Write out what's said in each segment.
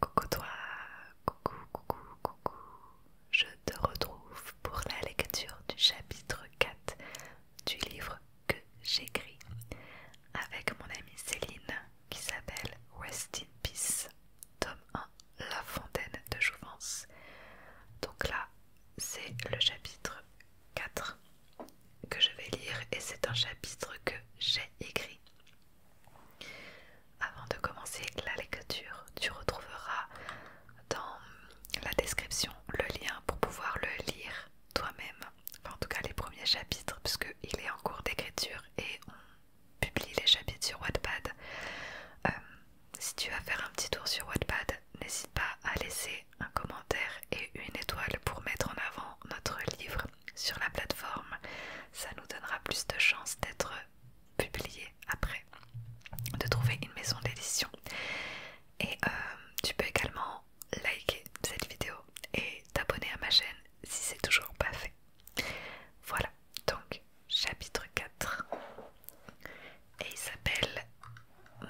Coucou toi, coucou, coucou, coucou. Je te retrouve pour la lecture du chapitre 4 du livre que j'écris avec mon amie Céline qui s'appelle West in Peace, tome 1, La fontaine de Jouvence. Donc là, c'est le chapitre 4 que je vais lire et c'est un chapitre que j'ai écrit. Avant de commencer la lecture, tu retrouveras dans la description le lien pour pouvoir le lire toi-même, en tout cas les premiers chapitres, puisqu'il est en cours d'écriture et on publie les chapitres sur Wattpad. Euh, si tu vas faire un petit tour sur Wattpad, n'hésite pas à laisser un commentaire et une étoile pour mettre en avant notre livre sur la plateforme. Ça nous donnera plus de chances d'être publié après, de trouver une maison d'édition. Et euh, tu peux également liker cette vidéo et t'abonner à ma chaîne si c'est toujours pas fait. Voilà, donc chapitre 4. Et il s'appelle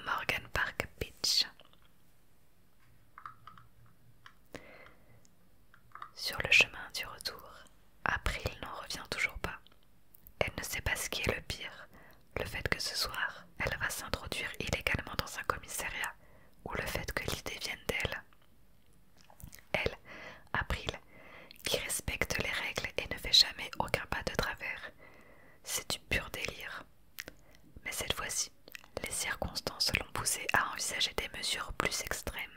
Morgan Park Beach. Sur le chemin du retour, April n'en revient toujours pas. Elle ne sait pas ce qui est le pire, le fait que ce soir, elle va s'introduire illégalement dans un commissariat, ou le fait que l'idée vienne d'elle. Elle, April, qui respecte les règles et ne fait jamais aucun pas de travers. C'est du pur délire. Mais cette fois-ci, les circonstances l'ont poussé à envisager des mesures plus extrêmes.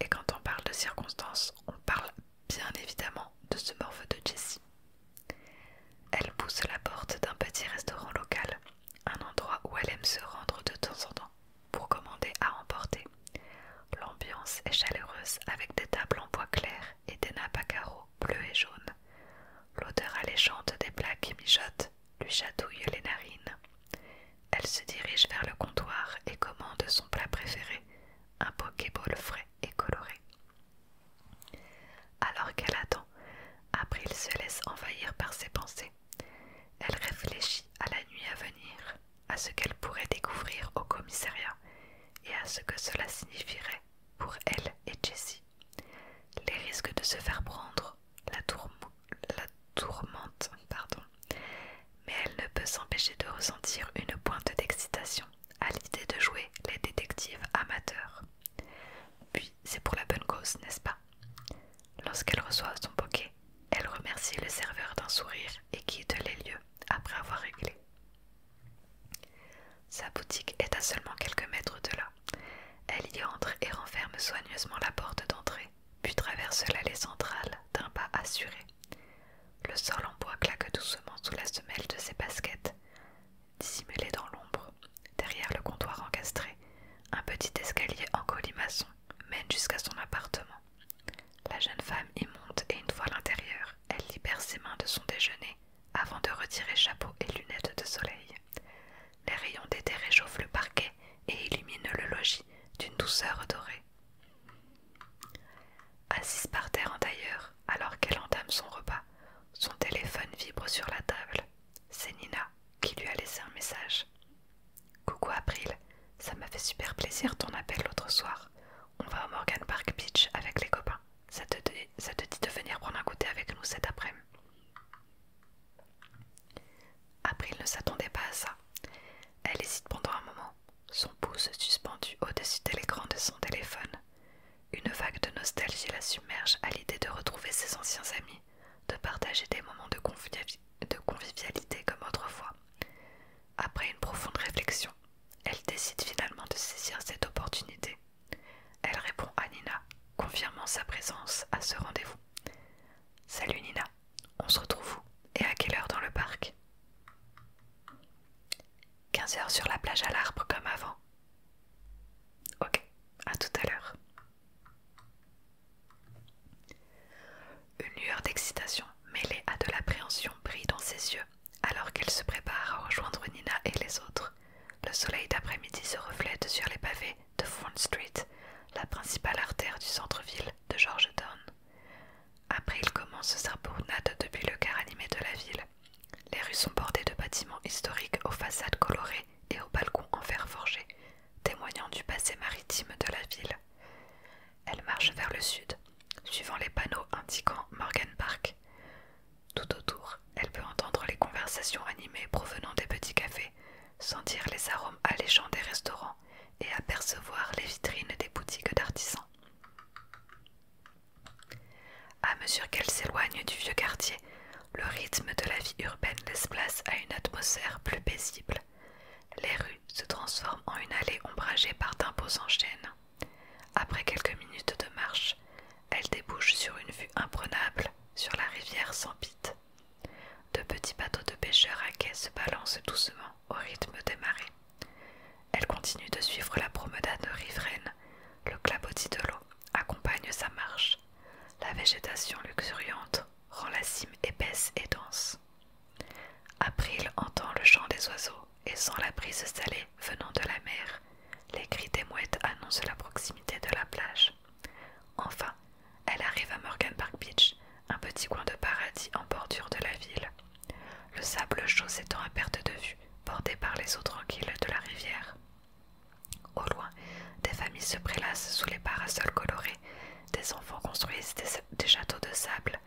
Et quand on parle de circonstances, on parle bien évidemment de ce morphe de Jessie. Elle pousse la porte d'un petit restaurant local, un endroit où elle aime se rendre de temps en temps pour commander à emporter. L'ambiance est chaleureuse avec des tables en bois clair et des nappes à carreaux bleus et jaunes. L'odeur alléchante des plaques qui mijotent lui chatouille les narines. Elle se dirige vers le comptoir et commande son plat préféré, un pokéball frais et coloré. Alors qu'elle attend, April se laisse envahir par ses pensées. Elle réfléchit à la nuit à venir, à ce qu'elle pourrait découvrir au commissariat et à ce que cela signifierait pour elle et Jessie. Les risques de se faire prendre la, tourmente, pardon. mais elle ne peut s'empêcher de ressentir une pointe d'excitation à l'idée de jouer les détectives amateurs. Puis c'est pour la bonne cause, n'est-ce pas Lorsqu'elle reçoit son poquet, elle remercie le serveur d'un sourire et quitte les lieux après avoir réglé. Sa boutique est à seulement quelques mètres de là. Elle y entre et renferme soigneusement la porte d'entrée, puis traverse l'allée centrale d'un pas assuré. Le sol en bois claque doucement sous la semelle de ses baskets. Dissimulée dans l'ombre, derrière le comptoir encastré, un petit escalier en colimaçon mène jusqu'à son appartement. La jeune femme y monte et une fois à l'intérieur, elle libère ses mains de son déjeuner avant de retirer chapeau et lunettes de soleil les rayons d'été réchauffent le parquet et illuminent le logis d'une douceur dorée. Assise par terre en tailleur, alors qu'elle entame son repas, son téléphone vibre sur la table. C'est Nina qui lui a laissé un message. Coucou April, ça m'a fait super plaisir ton appel l'autre soir. On va au Morgan Park Beach avec les copains. Ça te, ça te dit de venir prendre un goûter avec nous cet après-midi. April ne s'attendait pas à ça. Elle hésite pendant un moment, son pouce suspendu au-dessus de l'écran de son téléphone. Une vague de nostalgie la submerge à l'idée de retrouver ses anciens amis, de partager des moments de, de convivialité comme autrefois. Après une profonde réflexion, elle décide finalement de saisir cette opportunité elle répond à Nina, confirmant sa présence à ce rendez-vous. Salut Nina, on se retrouve où et à quelle heure dans le parc Quinze heures sur la plage à l'arbre comme avant. Ok, à tout à l'heure. Une lueur d'excitation mêlée à de l'appréhension brille dans ses yeux alors qu'elle se prépare à rejoindre Nina et les autres. Le soleil d'après-midi se reflète sur les pavés de Front Street, la principale artère du centre-ville de Georgetown. Après, il commence sa promenade depuis le quart animé de la ville. Les rues sont bordées de bâtiments historiques aux façades colorées et aux balcons en fer forgé, témoignant du passé maritime de la ville. Elle marche vers le sud, suivant les panneaux indiquant Morgan Park. Tout autour, elle peut entendre les conversations animées provenant des petits cafés, sentir les arômes alléchants des restaurants et apercevoir les vitrines des boutiques d'artisans. À mesure qu'elle s'éloigne du vieux quartier, le rythme de la vie urbaine laisse place à une atmosphère plus paisible. Les rues se transforment en une allée ombragée par d'imposants chênes. Après quelques minutes de marche, elle débouche sur une vue imprenable sur la rivière sans pit De petits bateaux de pêcheurs à quai se balancent doucement au rythme des marées. Elle continue de suivre la promenade riveraine. Le clapotis de l'eau accompagne sa marche. La végétation luxuriante rend la cime épaisse et dense. April entend le chant des oiseaux et sent la brise salée venant de la mer. Les cris des mouettes annoncent la proximité de la plage. Enfin, elle arrive à Morgan Park Beach, un petit coin de paradis en bordure de la ville. Le sable chaud s'étend à perte de vue, bordé par les eaux tranquilles de la rivière. Au loin, des familles se prélassent sous les parasols colorés, des enfants construisent des, châteaux de sable,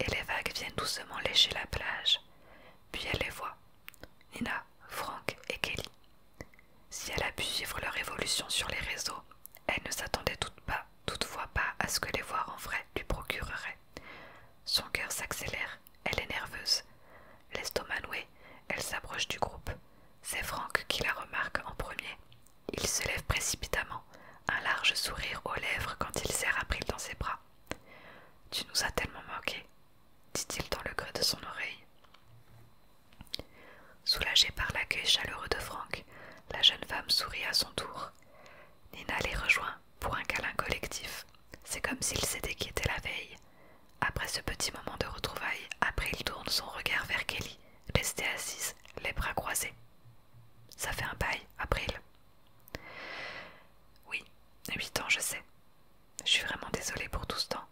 et les vagues viennent doucement lécher la plage. Puis elle les voit. Nina, Frank et Kelly. Si elle a pu suivre leur évolution sur les réseaux, elle ne s'attendait toutefois pas à ce que les voir en vrai lui procurerait. Son cœur s'accélère, elle est nerveuse. L'estomac noué, elle s'approche du groupe. C'est Frank qui la remarque en premier. Il se lève précipitamment, un large sourire aux lèvres quand il serre April dans ses bras. Tu nous as tellement manqué, dit-il dans le creux de son oreille. Soulagée par l'accueil chaleureux de Franck, la jeune femme sourit à son tour. Nina les rejoint pour un câlin collectif. C'est comme s'ils s'étaient quittés la veille. Après ce petit moment de retrouvailles, April tourne son regard vers Kelly, restée assise, les bras croisés. Ça fait un bail, April. Oui, huit ans, je sais. Je suis vraiment désolée pour tout ce temps.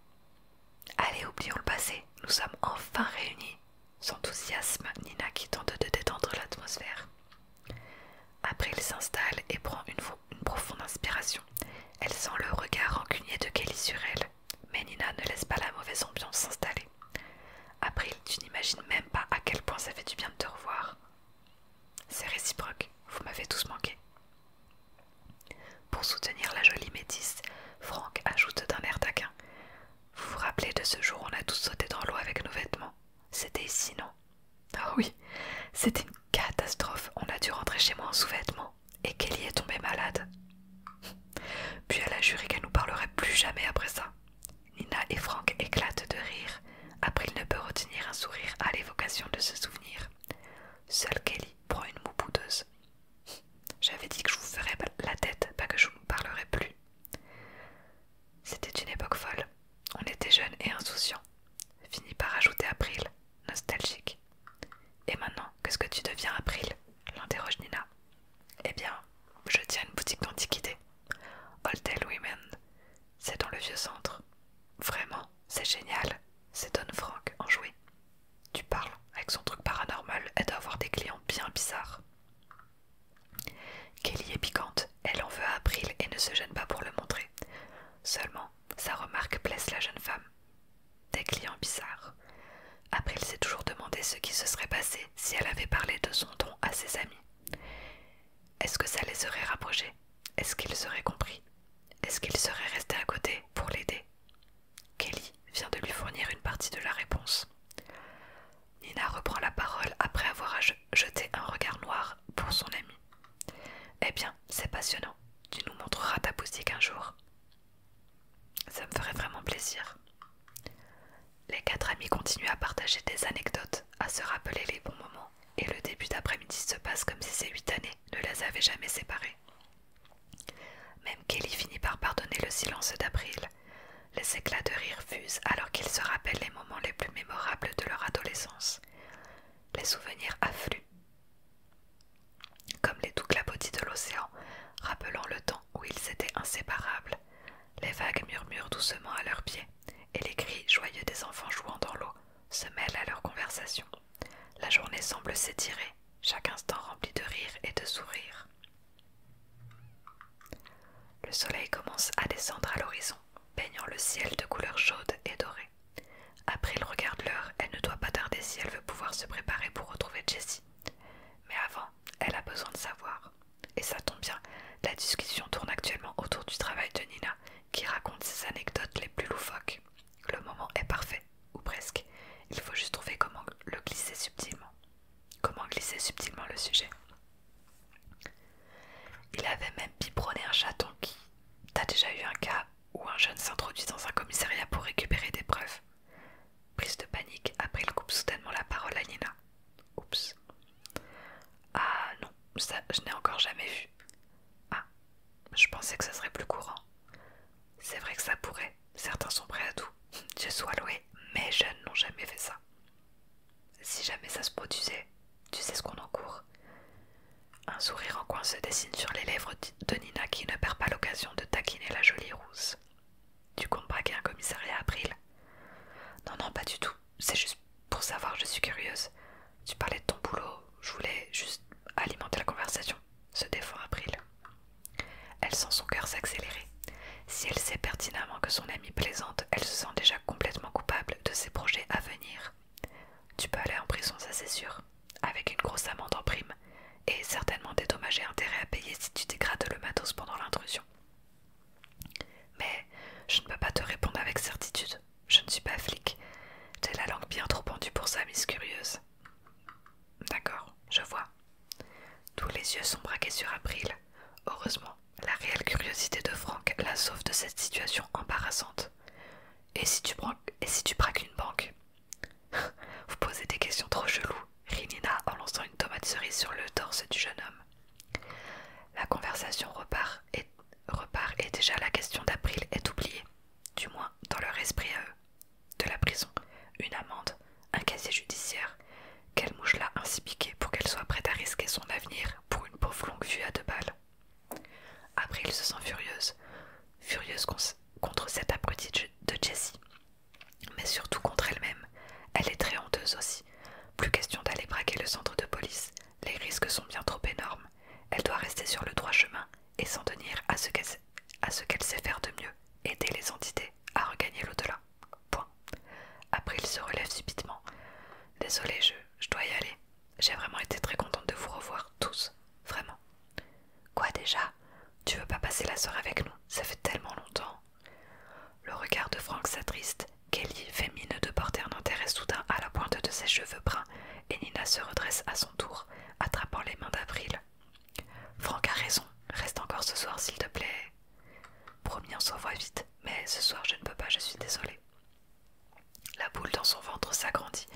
Allez, oublions le passé. Nous sommes enfin réunis. S'enthousiasme Nina qui tente de détendre l'atmosphère. April s'installe et prend une, profonde inspiration. Elle sent le regard rancunier de Kelly sur elle, mais Nina ne laisse pas la mauvaise ambiance s'installer. April, tu n'imagines même pas à quel point ça fait du bien de te revoir. C'est réciproque, vous m'avez tous manqué. Pour soutenir la jolie métisse, Franck ajoute d'un air taquin Vous vous rappelez de ce jour où on a tous sauté dans l'eau avec nos vêtements C'était ici, non Ah oui, c'était une catastrophe. On a dû rentrer chez moi en sous-vêtements et Kelly est tombée malade. Puis elle a juré qu'elle nous parlerait plus jamais après ça. Nina et Franck éclatent de rire. Après, il ne peut retenir un sourire à l'évocation de ce souvenir. Seule Kelly prend une moue boudeuse. J'avais dit que je vous ferais la tête, pas que je ne parlerais plus. C'était une époque folle. On était jeunes et insouciants. Fini par ajouter April, nostalgique. Et maintenant, qu'est-ce que tu deviens, April l'interroge Nina. Eh bien, je tiens une boutique d'antiquités. Old Women, c'est dans le vieux centre. Vraiment, c'est génial. C'est Don en enjoué. Tu parles, avec son truc paranormal, elle doit avoir des clients bien bizarres. Kelly est piquante, elle en veut à April et ne se gêne pas pour le montrer. Seulement, sa remarque blesse la jeune femme. Des clients bizarres. April s'est toujours demandé ce qui se serait passé si elle avait parlé de son don à ses amis. Est-ce que ça les aurait rapprochés Est-ce qu'ils auraient compris est-ce qu'il serait resté à côté pour l'aider Kelly vient de lui fournir une partie de la réponse. Nina reprend la parole après avoir jeté un regard noir pour son ami. Eh bien, c'est passionnant. Tu nous montreras ta boutique un jour. Ça me ferait vraiment plaisir. Les quatre amis continuent à partager des anecdotes, à se rappeler les bons moments, et le début d'après-midi se passe comme si c'est huit années ne les avaient jamais séparés. Même Kelly finit par pardonner le silence d'April. Les éclats de rire fusent alors qu'ils se rappellent les moments les plus mémorables de leur adolescence. Les souvenirs affluent, comme les doux clapotis de l'océan, rappelant le temps où ils étaient inséparables. Les vagues murmurent doucement à leurs pieds, et les cris joyeux des enfants jouant dans l'eau se mêlent à leur conversation. La journée semble s'étirer, chaque instant rempli de rires et de sourires. Le soleil commence à descendre à l'horizon, baignant le ciel de couleurs chaudes et dorées. regard regarde l'heure, elle ne doit pas tarder si elle veut pouvoir se préparer pour retrouver Jessie. Mais avant, elle a besoin de savoir. Et ça tombe bien, la discussion tourne actuellement autour du travail de Nina qui raconte ses anecdotes les plus loufoques. Le moment est parfait, ou presque. Il faut juste trouver comment le glisser subtilement. Comment glisser subtilement le sujet. Il avait même biberonné un chaton qui. T'as déjà eu un cas où un jeune s'introduit dans un commissariat pour récupérer des preuves Prise de panique, après il coupe soudainement la parole à Nina. Oups. Ah non, ça je n'ai encore jamais vu. Ah, je pensais que ça serait plus courant. C'est vrai que ça pourrait, certains sont prêts à tout. Je sois loué, mes jeunes n'ont jamais fait ça. Si jamais ça se produisait, tu sais ce qu'on en court. » Un sourire en coin se dessine sur les lèvres de Nina qui ne perd pas l'occasion de taquiner la jolie rousse. Tu comptes braquer un commissariat, April Non, non, pas du tout c'est juste pour savoir, je suis curieuse. Tu parlais de ton boulot, je voulais juste alimenter la conversation, se défend April. Elle sent son cœur s'accélérer. Si elle sait pertinemment que son amie plaisante, elle se sent déjà complètement coupable de ses projets à venir. Tu peux aller en prison, ça c'est sûr, avec une grosse amende en prime, et certainement des dommages intérêts à payer si tu dégrades le matos pendant l'intrusion. Mais je ne peux pas te répondre avec certitude. Je ne suis pas flic. J'ai la langue bien trop pendue pour ça, Miss Curieuse. D'accord, je vois. Tous les yeux sont braqués sur April. Heureusement, la réelle curiosité de Franck la sauve de cette situation embarrassante. Et si tu, braques une banque Vous posez des questions trop cheloues, rit Nina en lançant une tomate cerise sur le torse du jeune homme. La conversation repart et, déjà la question d'April est oubliée, du moins dans leur esprit à eux. De la prison, une amende, un casier judiciaire, quelle mouche l'a ainsi piquée pour qu'elle soit prête à risquer son avenir pour une pauvre longue vue à deux balles. April se sent furieuse, furieuse contre cette abrutie de Jessie, mais surtout contre elle-même. Elle est très honteuse aussi. Plus question d'aller braquer le centre de police, les risques sont bien trop énormes. Elle doit rester sur le droit chemin et s'en tenir à ce qu'elle sait faire de mieux, aider les entités à regagner l'au-delà. Point. Après, il se relève subitement. Désolé, je, dois y aller. J'ai vraiment été très contente de vous revoir tous. Vraiment. Quoi déjà Tu veux pas passer la soirée avec nous Ça fait tellement longtemps. Le regard de Frank s'attriste Kelly fait mine de porter un intérêt soudain à la pointe de ses cheveux bruns et Nina se redresse à son tour, attrapant les mains d'April. « Franck a raison, reste encore ce soir s'il te plaît. Promis, on s'envoie vite, mais ce soir je ne peux pas, je suis désolée. La boule dans son ventre s'agrandit.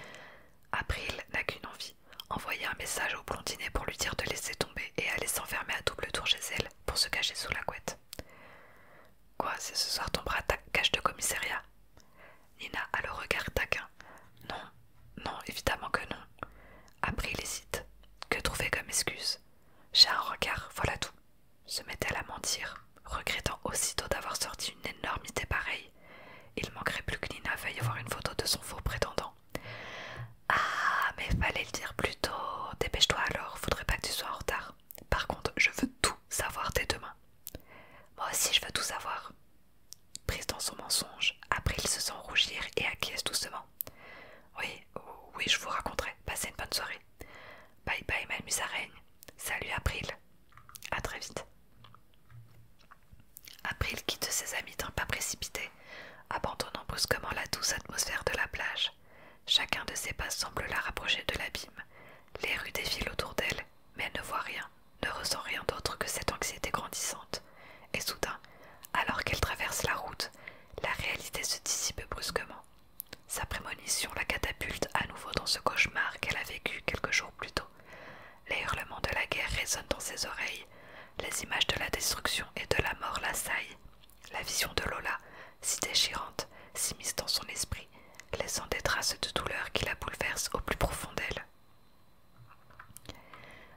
April n'a qu'une envie envoyer un message au blondinet pour lui dire de laisser tomber et aller s'enfermer à double tour chez elle pour se cacher sous la couette. Quoi, c'est ce soir ton bras cache de commissariat Nina a le regard taquin. Non, non, évidemment que non. Après, il hésite. Que trouver comme excuse J'ai un regard, voilà tout. Se mettait à mentir, regrettant aussitôt d'avoir sorti une énormité pareille. Il manquerait plus que Nina veuille voir une photo de son faux prétendant. Ah, mais fallait le dire plus tôt. Dépêche-toi alors, faudrait pas que tu sois en retard. Par contre, je veux tout savoir dès demain. Moi aussi, je veux tout savoir. Prise dans son mensonge, April se sent rougir et acquiesce doucement. Oui, oui, je vous raconterai. Passez une bonne soirée. Bye bye, ma reine. Salut, April. À très vite. April quitte ses amis d'un pas précipité, abandonnant brusquement la douce atmosphère de la plage. Chacun de ses pas semble la rapprocher de l'abîme. Les rues défilent autour d'elle, mais elle ne voit rien, ne ressent rien d'autre que cette anxiété grandissante. Et soudain, alors qu'elle traverse la route, la réalité se dissipe brusquement. Sa prémonition la catapulte à nouveau dans ce cauchemar qu'elle a vécu quelques jours plus tôt. Les hurlements de la guerre résonnent dans ses oreilles, les images de la destruction et de la mort l'assaillent, la vision de Lola, si déchirante, s'immisce dans son esprit, laissant des traces de douleur qui la bouleversent au plus profond d'elle.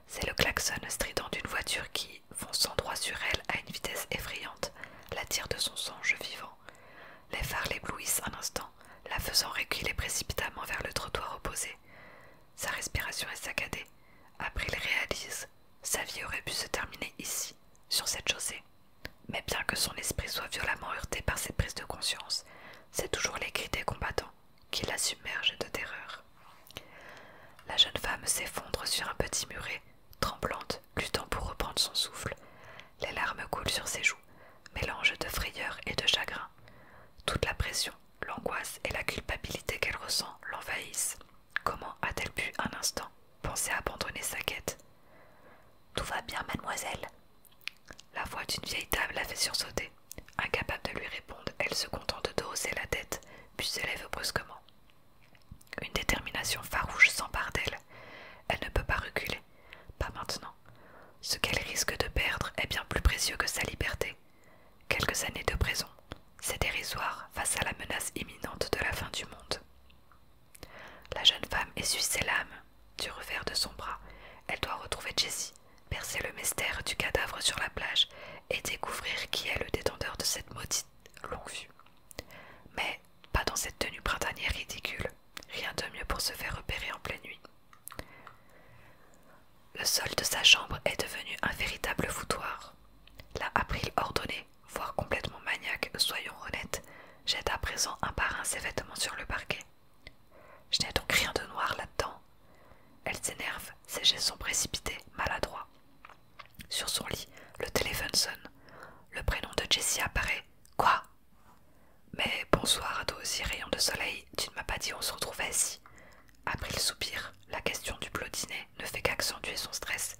C'est le klaxon strident d'une voiture qui, fonçant droit sur elle à une vitesse effrayante, la tire de son songe vivant. Les phares l'éblouissent un instant, la faisant reculer précipitamment vers le trottoir opposé. Sa respiration est saccadée. Après, il réalise sa vie aurait pu se terminer ici, sur cette chaussée. Mais bien que son esprit soit violemment heurté par cette prise de conscience, c'est toujours les cris des combattants qui la submergent de terreur. La jeune femme s'effondre sur un petit muret, tremblante, luttant pour reprendre son souffle. Les larmes coulent sur ses joues, mélange de frayeur et de chagrin. Toute la pression, l'angoisse et la culpabilité qu'elle ressent l'envahissent. Comment a-t-elle pu un instant penser à abandonner sa quête Tout va bien, mademoiselle La voix d'une vieille table la fait sursauter. Incapable de lui répondre, elle se contente de hausser la tête, puis se lève brusquement. Une détermination farouche s'empare d'elle. Elle ne peut pas reculer. Pas maintenant. Ce qu'elle risque de perdre est bien plus précieux que sa liberté. Quelques années de prison, c'est dérisoire face à la menace imminente de la fin du monde. La jeune femme essuie ses lames du revers de son bras. Elle doit retrouver Jessie, percer le mystère du cadavre sur la plage et découvrir qui est le détenteur de cette maudite longue vue. Mais pas dans cette tenue printanière ridicule, rien de mieux pour se faire repérer en pleine nuit. Le sol de sa chambre est devenu un véritable foutoir. La a voire complètement maniaque, soyons honnêtes, jette à présent un par un ses vêtements sur le parquet. Je n'ai donc rien de noir là-dedans. Elle s'énerve, ses gestes sont précipités, maladroits. Sur son lit, le téléphone sonne. Le prénom de Jessie apparaît. Quoi Mais bonsoir à toi rayon de soleil, tu ne m'as pas dit on se retrouvait ici Après le soupir, la question du blot ne fait qu'accentuer son stress.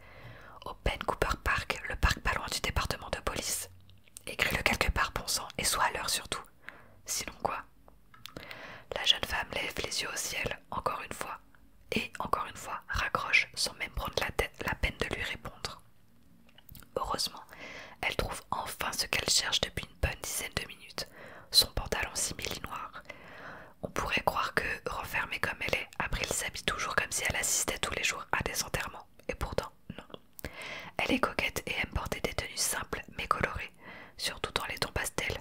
Au Ben Cooper Park, le parc pas loin du département de police. Écris-le quelque part, bon sang, et sois à l'heure surtout. Sinon quoi La jeune femme lève les yeux au ciel, encore une fois, et encore une fois raccroche sans même prendre la, tête, la peine de lui répondre. Heureusement, elle trouve enfin ce qu'elle cherche depuis une bonne dizaine de minutes, son pantalon simili noir. On pourrait croire que, refermée comme elle est, April s'habille toujours comme si elle assistait tous les jours à des enterrements. Et pourtant, non. Elle est coquette et aime porter des tenues simples mais colorées, surtout dans les tons pastels.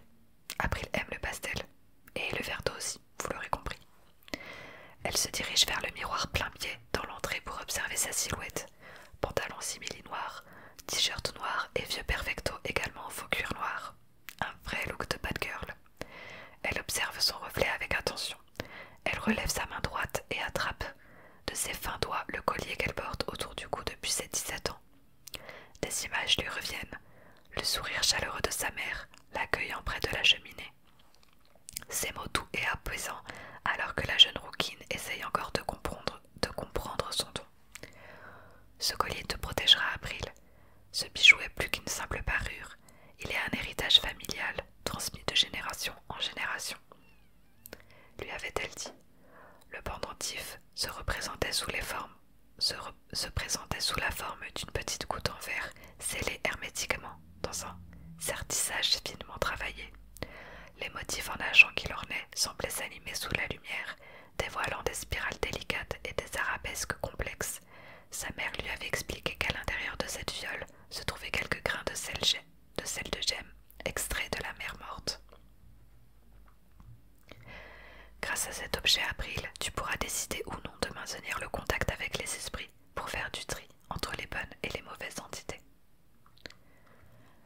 April aime le pastel. Et le verre d'eau aussi, vous l'aurez compris. Elle se dirige vers le miroir plein pied dans l'entrée pour observer sa silhouette. Pantalon simili noir, t-shirt noir et vieux perfecto également en faux noir. Un vrai look de bad girl. Elle observe son reflet avec attention. Elle relève sa main droite et attrape de ses fins doigts le collier qu'elle porte autour du cou depuis ses 17 ans. Des images lui reviennent, le sourire chaleureux de sa mère, l'accueillant près de la cheminée. Ces mots doux et apaisants, alors que la jeune rouquine essaye encore de comprendre, de comprendre son don. Ce collier te protégera, April. Ce bijou est plus qu'une simple parure, il est un héritage familial transmis de génération en génération. Lui avait-elle dit Le pendentif se représentait sous présentait sous la forme d'une petite goutte en verre scellée hermétiquement dans un sertissage finement travaillé. Les motifs en argent qui l'ornaient semblaient s'animer sous la lumière, dévoilant des spirales délicates et des arabesques complexes. Sa mère lui avait expliqué qu'à l'intérieur de cette viole se trouvaient quelques grains de sel de, sel de gemme, extraits de la mer morte. Grâce à cet objet, April, tu pourras décider ou non de maintenir le contact avec les esprits pour faire du tri entre les bonnes et les mauvaises entités.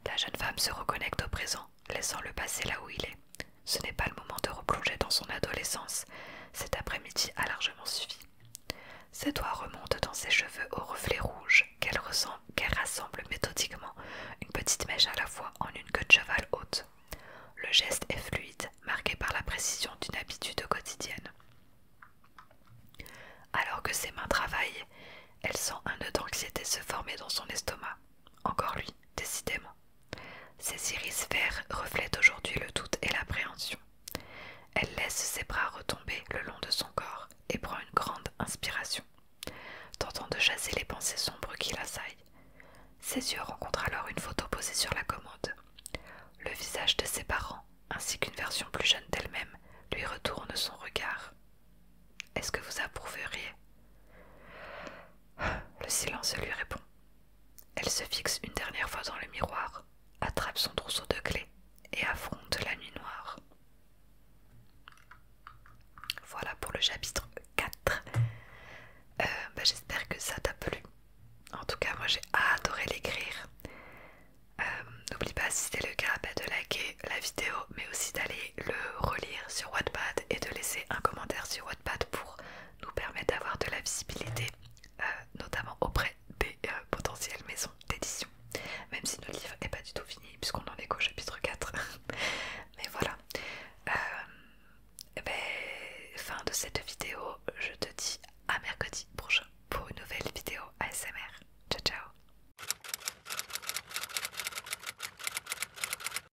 La jeune femme se reconnecte au présent, laissant le passé là où il est. Ce n'est pas le moment de replonger dans son adolescence, cet après-midi a largement suffi. Ses doigts remontent dans ses cheveux aux reflets rouges qu'elle rassemble méthodiquement, une petite mèche à la fois en une queue de cheval haute. Le geste est fluide, marqué par la précision d'une habitude quotidienne. Alors que ses mains travaillent, elle sent un nœud d'anxiété se former dans son estomac. Encore lui, décidément. Ses iris verts reflètent aujourd'hui le doute et l'appréhension. Elle laisse ses bras retomber le long de son corps et prend une grande inspiration, tentant de chasser les pensées sombres qui la saillent Ses yeux rencontrent alors une photo posée sur la commode. Le visage de ses parents, ainsi qu'une version plus jeune d'elle-même, lui retourne son regard. Est-ce que vous approuveriez Le silence lui répond. Elle se fixe une dernière fois dans le miroir, attrape son trousseau de clés et affronte la nuit noire. Voilà pour le chapitre 4. Euh, bah, j'espère que ça t'a plu. En tout cas, moi j'ai adoré l'écrire. Euh, n'oublie pas, si c'est le cas, bah, de liker la vidéo, mais aussi d'aller le relire sur Wattpad et de laisser un commentaire sur Wattpad pour nous permet d'avoir de la visibilité, euh, notamment auprès des euh, potentielles maisons d'édition. Même si notre livre n'est pas du tout fini, puisqu'on en est qu'au chapitre 4. Mais voilà. Euh, fin de cette vidéo, je te dis à mercredi prochain pour une nouvelle vidéo ASMR. Ciao ciao